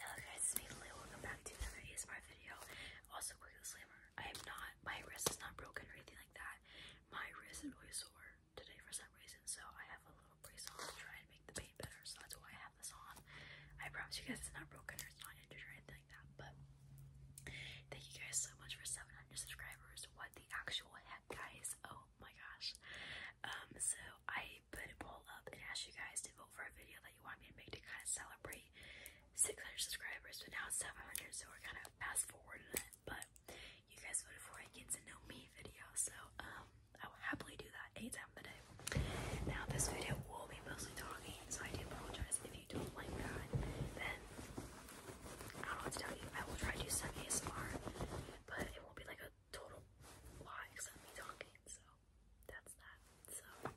Hello guys, it's me Lily. Welcome back to another ASMR video. Also, quick disclaimer, I am not, my wrist is not broken or anything like that. My wrist is really sore today for some reason, so I have a little brace on to try and make the pain better, so that's why I have this on. I promise you guys it's not broken or it's not injured or anything like that, but thank you guys so much for 700 subscribers. What the actual heck, guys? Oh my gosh. Um, so I put a poll up and asked you guys to vote for a video that you want me to make to kind of celebrate 600 subscribers, but now it's 700, so we're kind of fast forward in it. But you guys voted for a get to know me video, so um, I will happily do that anytime of the day. Now, this video will be mostly talking, so I do apologize if you don't like that. Then I do I will try to do some but it won't be like a total lie except me talking, so that's that. So um,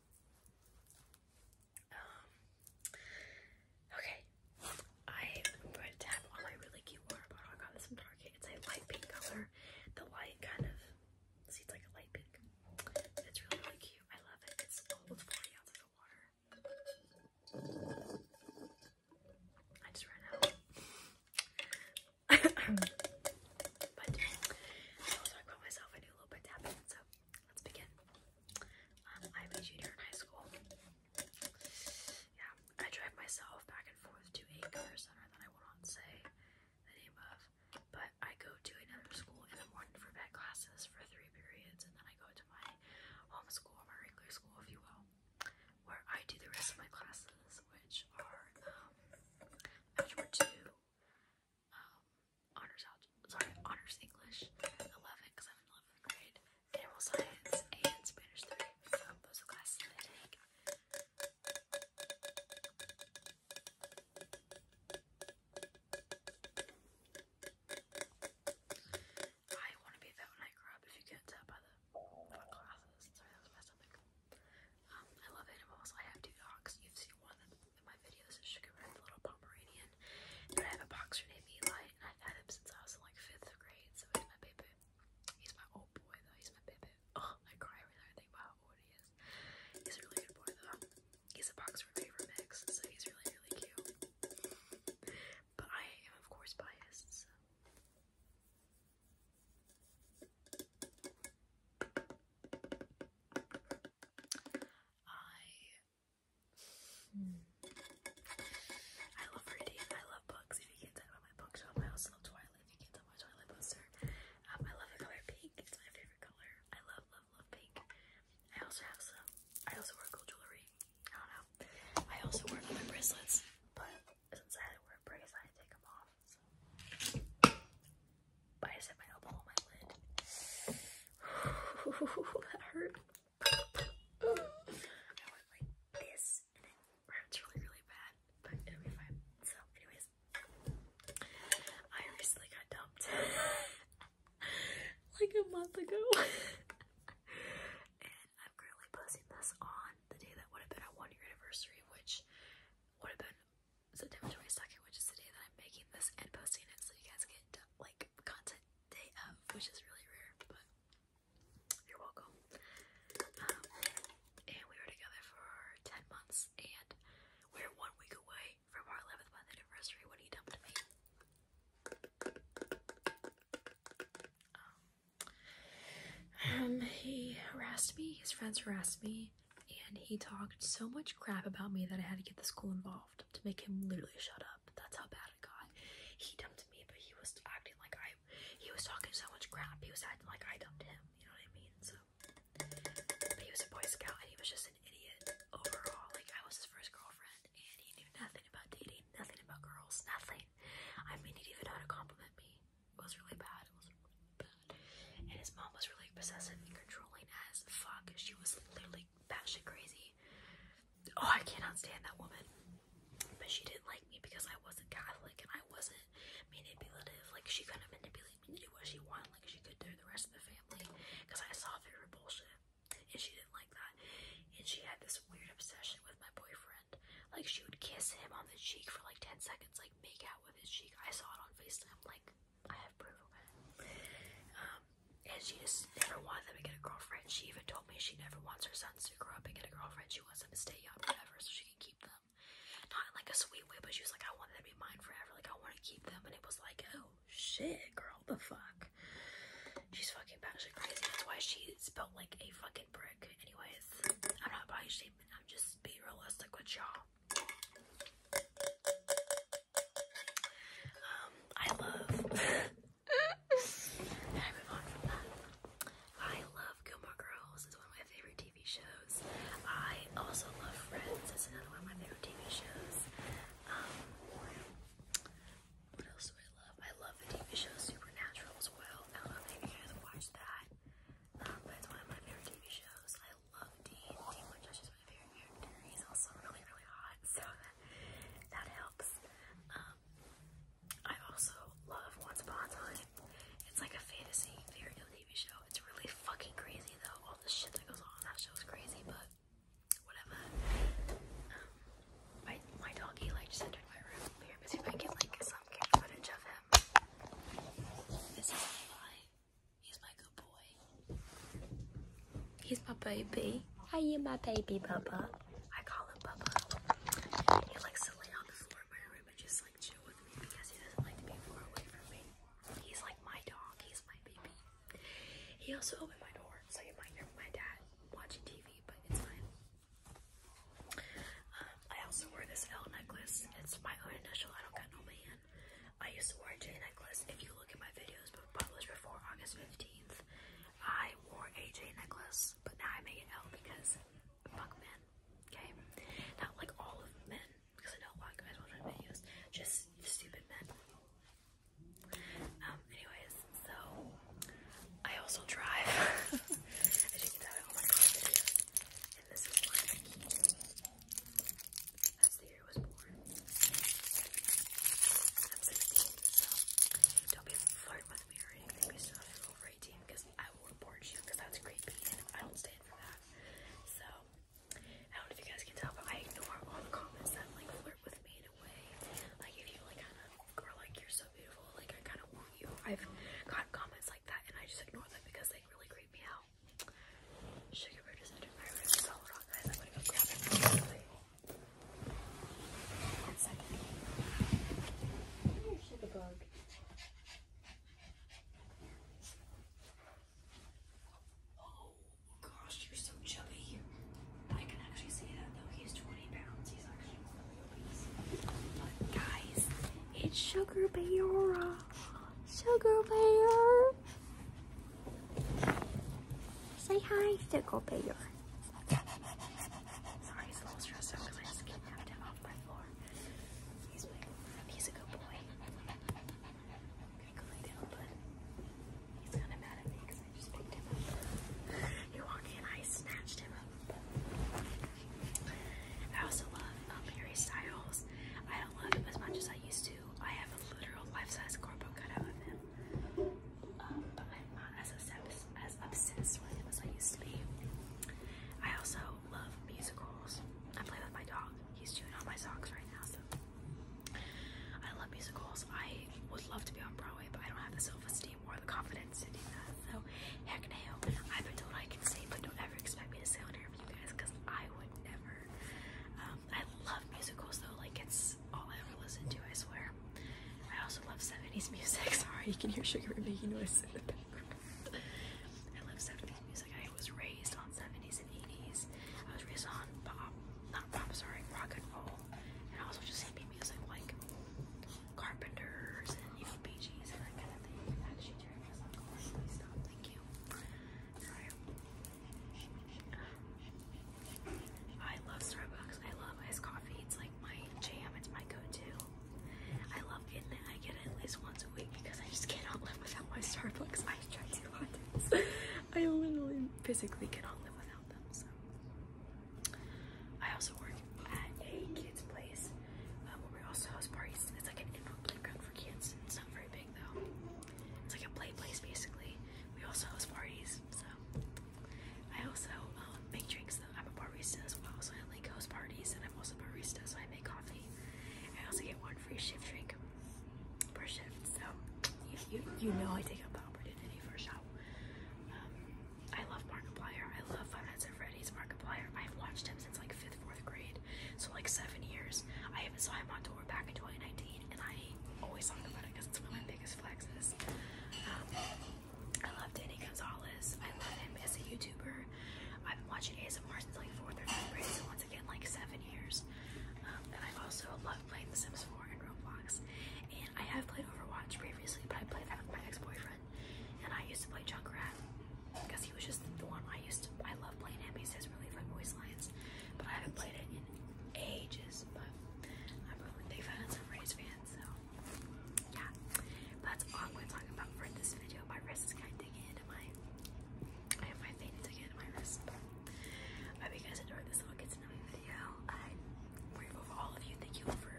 okay. I'm going to tap my really cute water bottle I got this from Target. It's a light pink color. The light kind of see it's like a light pink. It's really really cute. I love it. It's almost 40 ounces of water. I just ran out. but I I brought myself a new little bit tapping, so let's begin. I'm um, a junior in high school. Yeah, I drive myself back and forth to a career center that I will not say the name of, but I go to another school in the morning for vet classes for three periods, and then I go to my home school, my regular school, if you will, where I do the rest of my classes, which are um, algebra two, um, honors algebra, sorry, honors English, eleven because I'm in eleventh grade, animal science, and Spanish three. So those are classes I take. I want to be a when I grow up. If you can't by the um, I love animals. I have two dogs. You've seen one of in my videos. It's Sugar the little Pomeranian. And I have a boxer named Eli, and I've had him since I was in like fifth grade. So he's my baby. He's my old boy though. He's my baby. Oh, I cry every time I think about how old he is. He's a really good boy though. He's a boxer favorite mix, so he's really really cute. But I am of course biased. Hmm. I love reading. I love books. If you can't tell by my bookshop, I also love Twilight. If you can't tell by Twilight poster, um, I love the color pink. It's my favorite color. I love, love, love pink. I also have some. I also wear gold jewelry. I don't know. I also wear other bracelets, but since I wear a brace, I take them off. So. But I my elbow on my lid. that hurt. I went like this, and it hurts really, really bad, but it'll be fine. So, anyways, I recently got dumped like a month ago. I'm currently posting this on the day that would have been our one year anniversary, which would have been September 22nd, which is the day that I'm making this and posting it, so you guys get like content day of, which is really rare, but you're welcome. Um, and we were together for 10 months, and we're one week away from our 11th month anniversary when he dumped me. Um, he harassed me, his friends harassed me, and he talked so much crap about me that I had to get the school involved to make him literally shut up. That's how bad it got. He dumped me, but he was acting like I, he was talking so much crap, he was acting like I dumped him, you know what I mean? So, but he was a Boy Scout and he was just an idiot overall. Like, I was his first girlfriend and he knew nothing about dating, nothing about girls, nothing. I mean, he didn't even know how to compliment me. It was really bad. It was really bad. And his mom was really possessive and controlling as fuck. She was literally batshit crazy. Oh, I cannot stand that woman. But she didn't like me because I wasn't Catholic and I wasn't manipulative. Like, she couldn't manipulate me to do what she wanted, like she could do the rest of the family. Because I saw through her bullshit and she didn't like that. And she had this weird obsession with my boyfriend. Like she would kiss him on the cheek for like 10 seconds, like make out with his cheek. I saw it on FaceTime, like I have proof um, and she just never wanted them to get a girlfriend. She even told me she never wants her sons to grow up and get a girlfriend. She wants them to stay young, forever, so she can keep them. Not like a sweet way, but she was like, I want them to be mine forever. Like I want to keep them. And it was like, oh, Oh, shit, girl, the fuck. She's fucking batshit crazy. That's why she's built like a fucking brick. Anyways, I'm not body shaming. I'm just being realistic with y'all. Um, I love. I move on from that. I love Gilmore Girls. It's one of my favorite TV shows. I also love Friends. It's another one of my favorite TV shows what else do I love? I love the TV show Supernatural as well. I love not if you guys watch that. Um, one of my favorite TV shows. I love Dean. Dean favorite character. He's also really, really hot, so that, helps. Um, I also love Once Upon a Time. It's like a fantasy fairy tale TV show. It's really fucking crazy though. All the shit that goes on that show is crazy, but whatever. Um, my, my doggy like just entered my room. Here, let's see if I can get like some camera footage of him. This is Levi. He's my good boy. He's my baby. Hi, you my baby, Bubba. I call him Bubba. He likes to lay on the floor in my room and just like chill with me because he doesn't like to be far away from me. He's like my dog. He's my baby. He also opened my door, so you might hear my dad watching TV, but it's fine. Um, I also wore this L necklace. It's my own initial. I don't got no man. I used to wear J necklace. If you look at my videos published before August 15th, I wore a J necklace, but now I make it L because fuck men. Okay? Not like all of men, because I don't want guys watching my videos. Just stupid men. Um, anyways, so I also drive. As you can tell, I my car And this is my That's the year was born. I'm 16, so don't be flirting with me or anything. We still have over 18 because I will report you because that's creepy I don't stand for that. So I don't know if you guys can tell, but I ignore all the comments that like flirt with me in a way. Like if you like kind of girl, like you're so beautiful, like I kind of want you. I've got comments like that, and I just ignore them because they really creep me out. sugar bug. Oh gosh, you're so chubby. I can actually say that though. He's 20 pounds. He's actually really But guys, it's Sugar Bayora. Sugar Bear. Say hi, Sugar Bear. Sorry, it's a little stressful because I just kidnapped him off my floor. He's a good boy. he's kind of mad at me because I just picked him up. He walked in, I snatched him up. I also love um, Harry Styles. I don't love him as much as I used to. I have a literal life-size corpo cutout of him. Um, not as obsessed, as I used to be. I also love musicals. I play with my dog. He's chewing on my socks right now, I love musicals. I would love to be on Broadway, but I don't have the self-esteem or the confidence to do that. So heck no. I've been told I can sing, but don't ever expect me to sing on air for you guys, because I would never. Um, I love musicals though, like it's all I ever listen to, I swear. I also love 70s music. Sorry, you can hear Sugar making noise in the back. I love 70s music. I was raised on 70s and 80s. I was raised on pop, not pop, sorry, rock and roll, and also just hippie music like Carpenters and you know Bee Gees and that kind of thing. Actually, turn this on. Please stop. Thank you. Sorry. I love Starbucks. I love iced coffee. It's like my jam. It's my go-to. I love getting it. I get it at least once a week because I just cannot live without my Starbucks I ice chai lattes. I literally physically cannot live without them. So I also work at a kids' place uh, where we also host parties. It's like an indoor playground for kids. It's not very big though. It's like a play place basically. We also host parties. So I also um, make drinks I'm a barista as well, so I like host parties, and I'm also a barista, so I make coffee. I also get one free shift drink per shift, so you, you, know I take up the opportunity for a shop. Um, I love Markiplier. I love Five Nights at Freddy's Markiplier. I've watched him since like fifth, fourth grade, so like seven years. I haven't saw him on tour back in 2019, and I always talk about it because it's one of my biggest flexes. Um, I love Danny Gonzalez. I love him as a YouTuber. I've been watching Mars since like fourth or fifth grade, so once again, like seven years. Um, and I also love playing The Sims 4 and Roblox. And I have played Overwatch previously, but I played that with my ex-boyfriend. And I used to play Junkrat because he was just the one I used to. I love playing him. He says really from voice lines, but I haven't played it in ages. But I'm a big fan of Rays fan, so yeah, that's all I'm going about for this video. My wrist is kind of digging into my, I my vein digging my wrist. I hope you guys enjoyed this little kids' to video. I'm grateful for all of you. Thank you for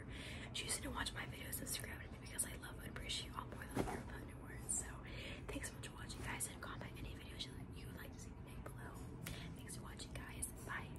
choosing to watch my videos and subscribe to me because I love and appreciate you all more than your put in words. So thanks so much for watching, guys, and comment any videos you would like to see me make below. Thanks for watching, guys. Bye.